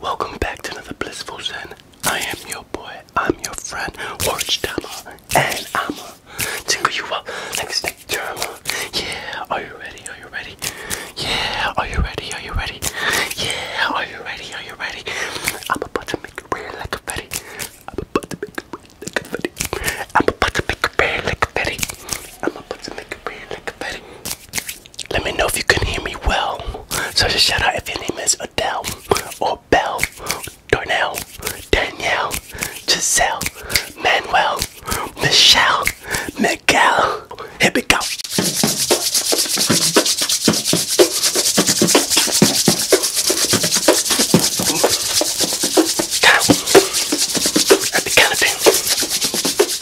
Welcome back to another Blissful Zen. I am your boy, I'm your friend, Orange Dama, and I'ma tickle you up like a snake drama. Yeah, are you ready? Are you ready? Yeah, are you ready? Are you ready? Yeah, are you ready? Are you ready? I'm about to make a real like a fetty. I'm about to make a real like a fetty. I'm about to make a real like a fetty. I'm about to make a real like a fetty. Let me know if you can hear me well. So just shout out if your name is Adele or Belle, Darnell, Danielle, Giselle, Manuel, Michelle, Miguel. Here we go. Count. At the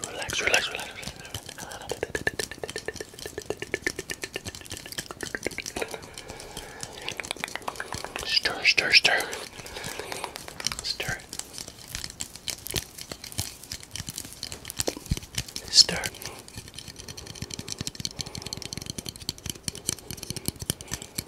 Relax, relax, relax, relax. Stir, stir, stir. Stir. Stir. Stir.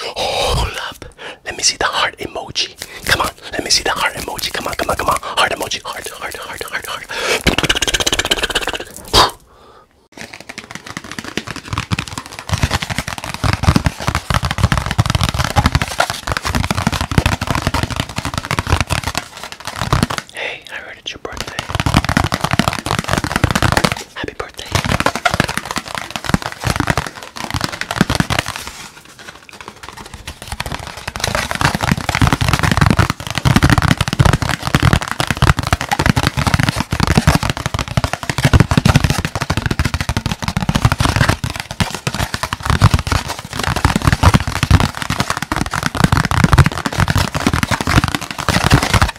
Hold oh, up. Let me see the heart emoji. Come on. Let me see the heart emoji. Come on, come on, come on. Heart emoji. Heart, heart, heart, heart, heart. Hey, I heard it's your birthday. Happy birthday.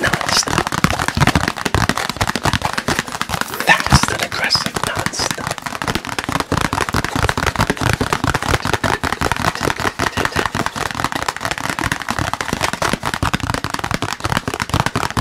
Non-stop. Fast and aggressive, non-stop.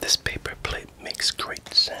This paper plate makes great sound.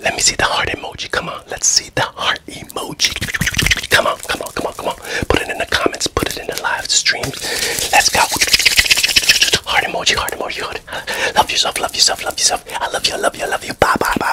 Let me see the heart emoji. Come on, let's see the heart emoji. Come on, come on, come on, come on. Put it in the comments, put it in the live streams. Let's go. Heart emoji, heart emoji, Love yourself, love yourself, love yourself. I love you, I love you, I love you. Bye, bye, bye.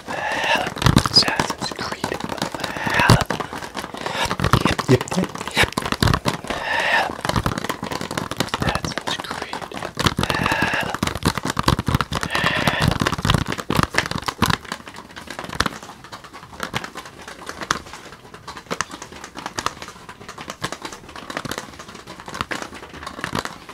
Assassin's Creed. Yep, yep, yep. Assassin's Creed.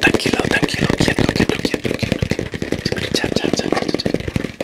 Tranquilo, tranquilo, quieto, quieto, quieto, quieto. Tap, tap, tap, tap, tap.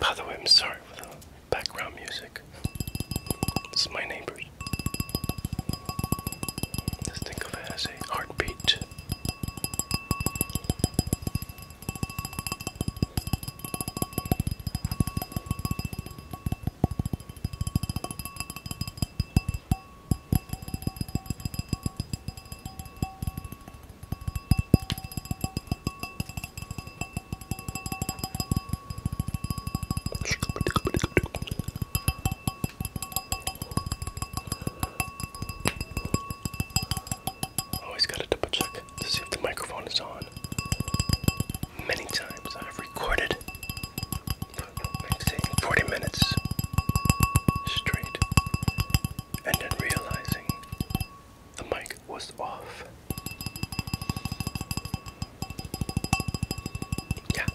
By the way, I'm sorry for the background music. It's my neighbors. think of it as a heartbeat. Always gotta double check to see if the microphone is on. Many times I have recorded 40 minutes straight, and then realizing the mic was off. Yeah.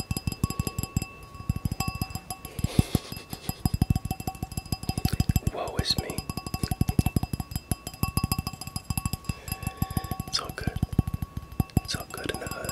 Woe is me. It's all good. It's all good in the hood.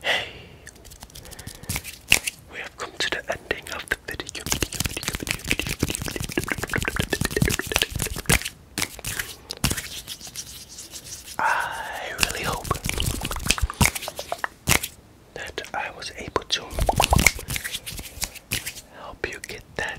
Hey, we have come to the ending of the video. I really hope that I was able to help you get that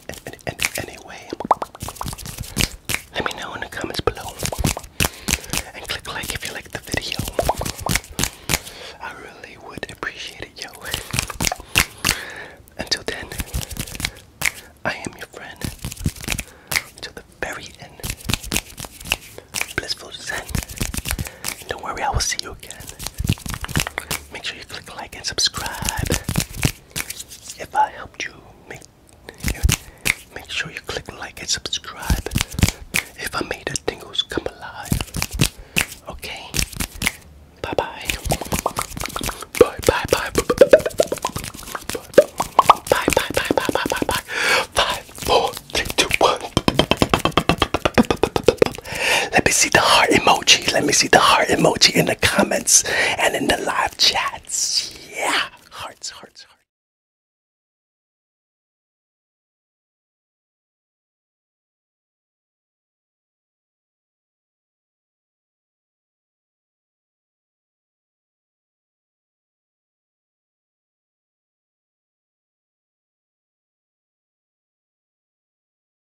and, anyway, let me know in the comments below and click like if you like the video. I really would appreciate it, yo. Until then, I am your friend. Until the very end, blissful zen. Don't worry, I will see you again make sure you click like and subscribe. If I helped you, make make sure you click like and subscribe. If I made the tingles come alive, okay. Bye bye. Bye bye bye. Bye bye bye bye bye bye bye. Five, four, three, two, one. Let me see the heart emoji. Let me see the heart emoji in the comments and in the live chats. Yeah, hearts, hearts, hearts.